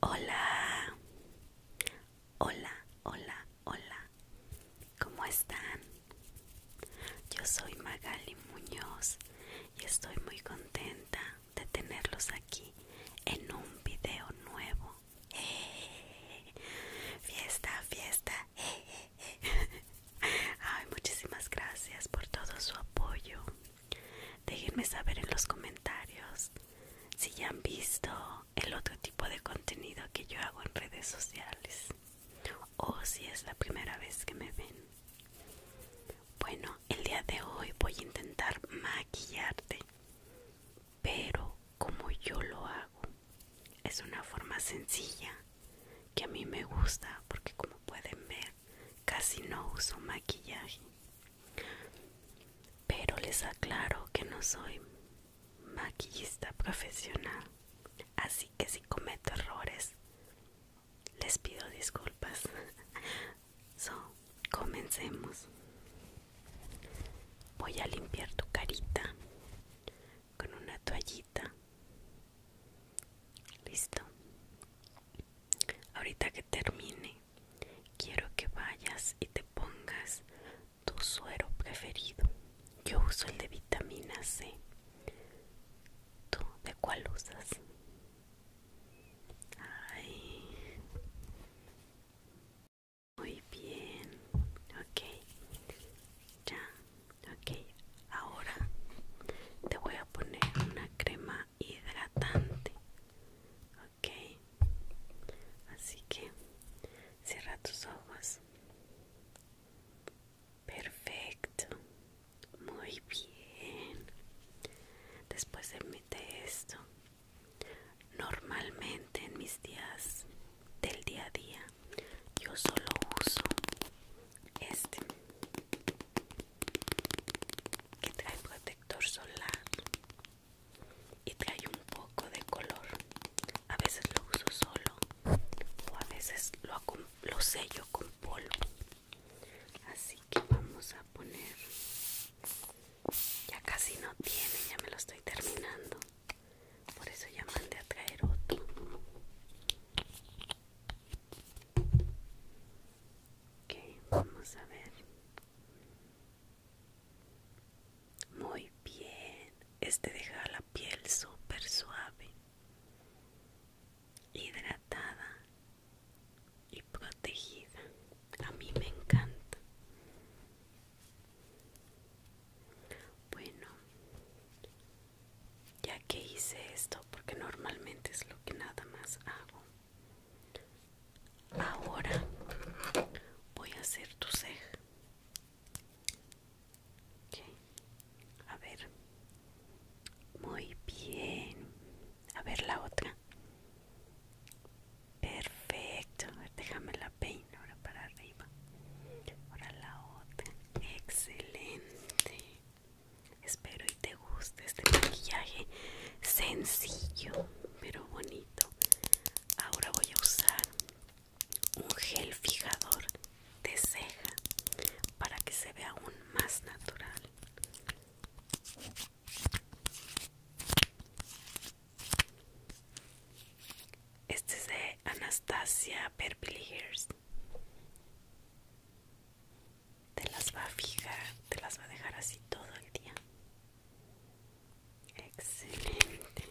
Hola, hola, hola, hola, ¿cómo están? Yo soy Magali Muñoz y estoy muy contenta de tenerlos aquí en un video nuevo. Fiesta, fiesta. Ay, muchísimas gracias por todo su apoyo. Déjenme saber en los comentarios si ya han visto el otro tipo de contenido que yo hago en redes sociales o si es la primera vez que me ven. Bueno, el día de hoy voy a intentar maquillarte, pero como yo lo hago, es una forma sencilla que a mí me gusta porque como pueden ver casi no uso maquillaje pero les aclaro que no soy maquillista profesional, así que si cometo errores, les pido disculpas. So, comencemos. Voy a limpiar tu carita con una toallita. Listo. Ahorita que termine, quiero que vayas y te pongas tu suero preferido. Yo uso el de vitamina C. ¿Tú de cuál usas? Ay. Muy bien. Ok. Ya. Ok. Ahora te voy a poner una crema hidratante ok así que cierra tus ojos perfecto muy bien después de, meter esto normalmente en mis días del día a día yo solo uso este que trae protector solar y trae un poco de color a veces lo uso solo o a veces lo, sello con polvo así que vamos a poner ya casi no tiene ya me lo estoy terminando por eso ya mandé a traer otro Ok, vamos a ver. Muy bien. Este deja la piel súper suave, hidratada y protegida. A mí me encanta. Bueno, ya que hice esto, porque normalmente es lo que nada más hago. Ahora voy a hacer tu ceja. Okay. A ver. Muy bien. A ver la otra. Perfecto. ver, déjame la peina ahora para arriba. Ahora la otra. Excelente. Espero y te guste este maquillaje sencillo pero bonito. Ahora voy a usar un gel fijador de ceja para que se vea aún más natural. Este es de Anastasia Beverly Hills te las va a fijar, te las va a dejar así todo el día. Excelente.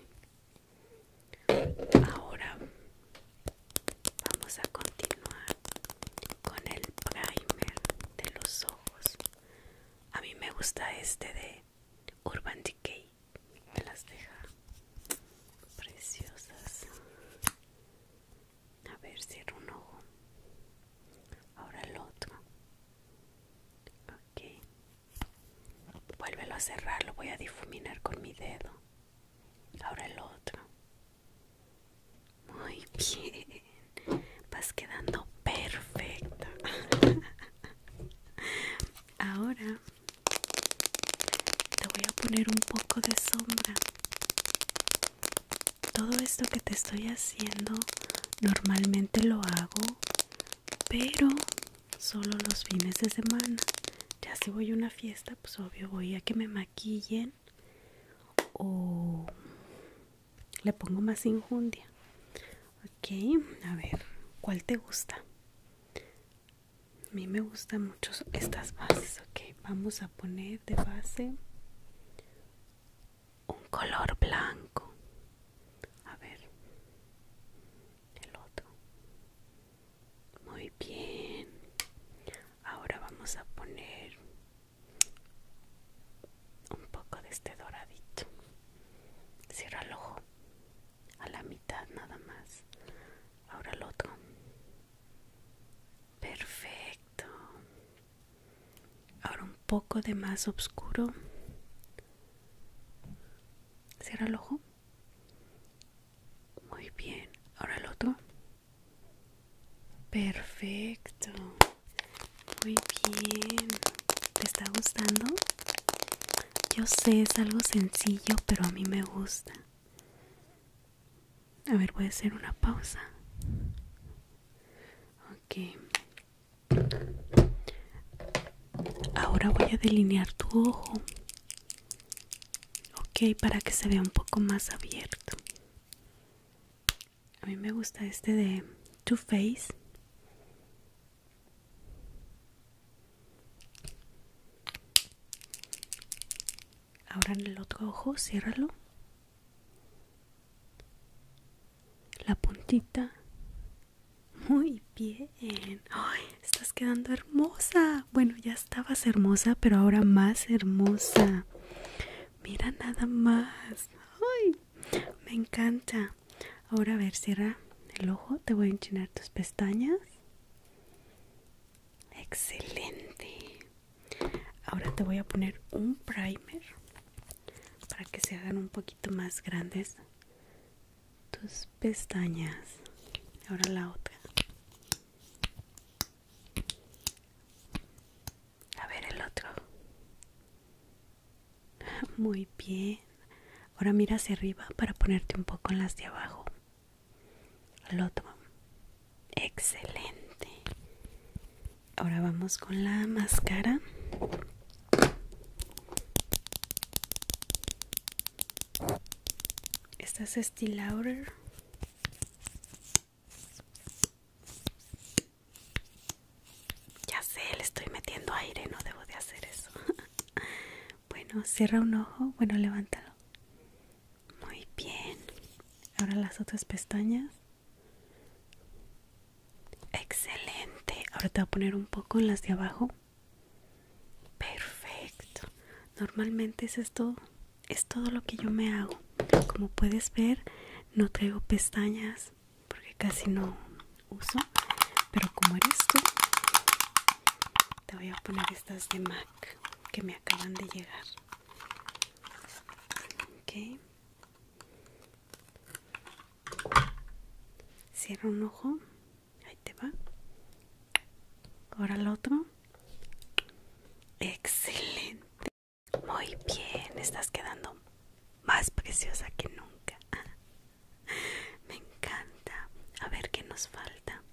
Ahora vamos a continuar con el primer de los ojos. A mí me gusta este de Urban Decay. Me las deja preciosas. A ver, cierro un ojo. Ahora el otro. Ok. Vuélvelo a cerrar, lo voy a difuminar con mi dedo. Ahora el otro. Muy bien. Vas quedando perfecto. Ahora te voy a poner un poco de sombra todo esto que te estoy haciendo normalmente lo hago pero solo los fines de semana ya si voy a una fiesta pues obvio voy a que me maquillen o le pongo más injundia ok a ver cuál te gusta a mí me gustan mucho estas bases ok vamos a poner de base un color blanco a ver el otro muy bien ahora vamos a poner un poco de este doradito cierra el ojo a la mitad nada más ahora el otro Perfecto. Ahora un poco de más oscuro. Cierra el ojo. Muy bien. Ahora el otro. Perfecto. Muy bien. ¿Te está gustando? Yo sé, es algo sencillo, pero a mí me gusta. A ver, voy a hacer una pausa. Ok. Ahora voy a delinear tu ojo. Ok, para que se vea un poco más abierto. A mí me gusta este de Too Faced. Ahora en el otro ojo, ciérralo la puntita muy bien ¡Ay, estás quedando hermosa bueno ya estabas hermosa pero ahora más hermosa mira nada más ¡Ay, me encanta ahora a ver cierra el ojo te voy a enchinar tus pestañas excelente Ahora te voy a poner un primer para que se hagan un poquito más grandes tus pestañas. Ahora la otra. A ver el otro. Muy bien. Ahora mira hacia arriba para ponerte un poco en las de abajo. Al otro. Excelente ahora vamos con la máscara esta es Estee Lauder ya sé, le estoy metiendo aire, no debo de hacer eso bueno, cierra un ojo, bueno, levántalo muy bien ahora las otras pestañas Excelente. Ahora te voy a poner un poco en las de abajo. Perfecto. Normalmente es todo. Es todo lo que yo me hago. Como puedes ver, no traigo pestañas porque casi no uso. Pero como eres tú, te voy a poner estas de MAC que me acaban de llegar. Ok. Cierra un ojo, ahí te va. Ahora el otro. Excelente. Muy bien, estás quedando más preciosa que nunca. Me encanta. A ver qué nos falta.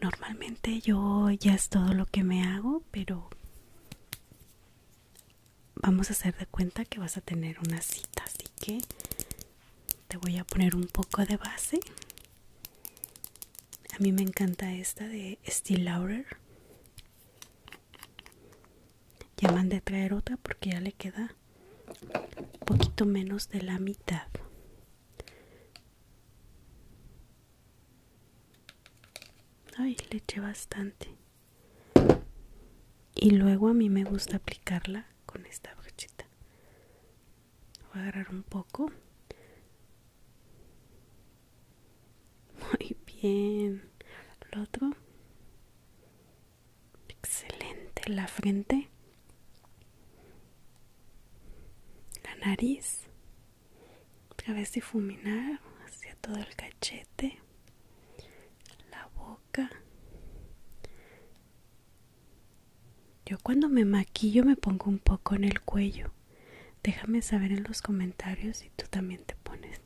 Normalmente yo ya es todo lo que me hago, pero vamos a hacer de cuenta que vas a tener una cita, así que te voy a poner un poco de base. A mí me encanta esta de Steel Lauder. Ya mandé traer otra porque ya le queda un poquito menos de la mitad. Ay, le eché bastante. Y luego a mí me gusta aplicarla con esta brochita. Voy a agarrar un poco. Muy bien. Lo otro. Excelente. La frente. La nariz a si difuminar hacia todo el cachete, la boca. Yo cuando me maquillo me pongo un poco en el cuello. Déjame saber en los comentarios si tú también te pones.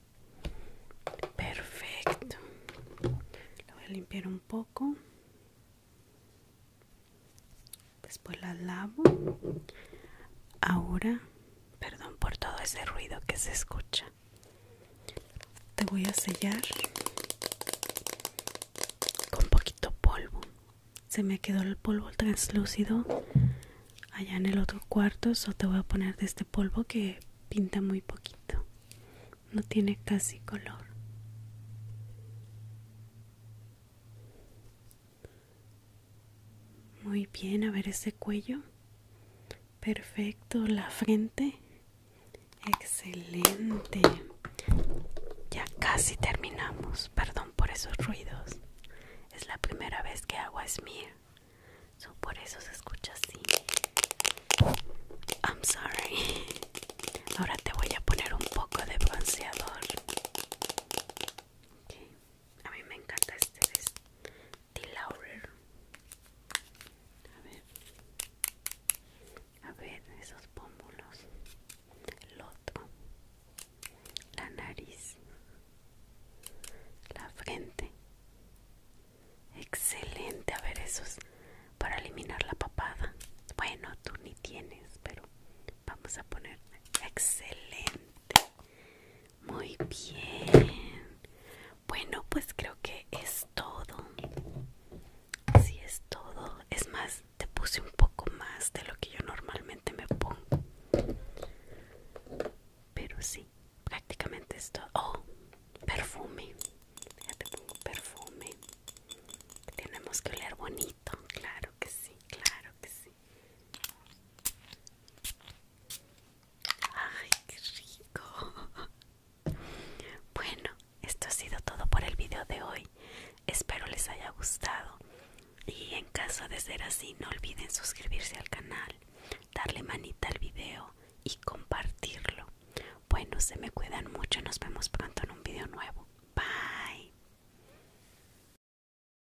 Perfecto. Lo voy a limpiar un poco. Después la lavo. Ahora Perdón por todo ese ruido que se escucha. Te voy a sellar con poquito polvo. Se me quedó el polvo translúcido allá en el otro cuarto, Solo te voy a poner de este polvo que pinta muy poquito. No tiene casi color. Muy bien, a ver ese cuello. Perfecto, la frente. Excelente. Ya casi terminamos. Perdón por esos ruidos. Es la primera vez que hago a smear. por eso se escucha así. I'm sorry. Ahora te voy a poner un poco de bronceador a mí me encanta este es de Laurer a ver a ver esos pómulos el otro la nariz la frente excelente a ver esos para eliminar la papada bueno tú ni tienes pero vamos a poner excelente muy bien. Bueno, pues creo que es todo. si es todo. Es más, te puse un poco más de lo que yo normalmente me pongo. Pero sí, prácticamente es todo. Oh, perfume. Ya te pongo perfume. Tenemos que oler bonito. Claro que sí, claro que sí. Ay, qué rico. Bueno, esto ha sido todo por el video de hoy. Espero les haya gustado. Y en caso de ser así, no olviden suscribirse al canal, darle manita al video y compartirlo. Bueno, se me cuidan mucho. Nos vemos pronto en un video nuevo. Bye.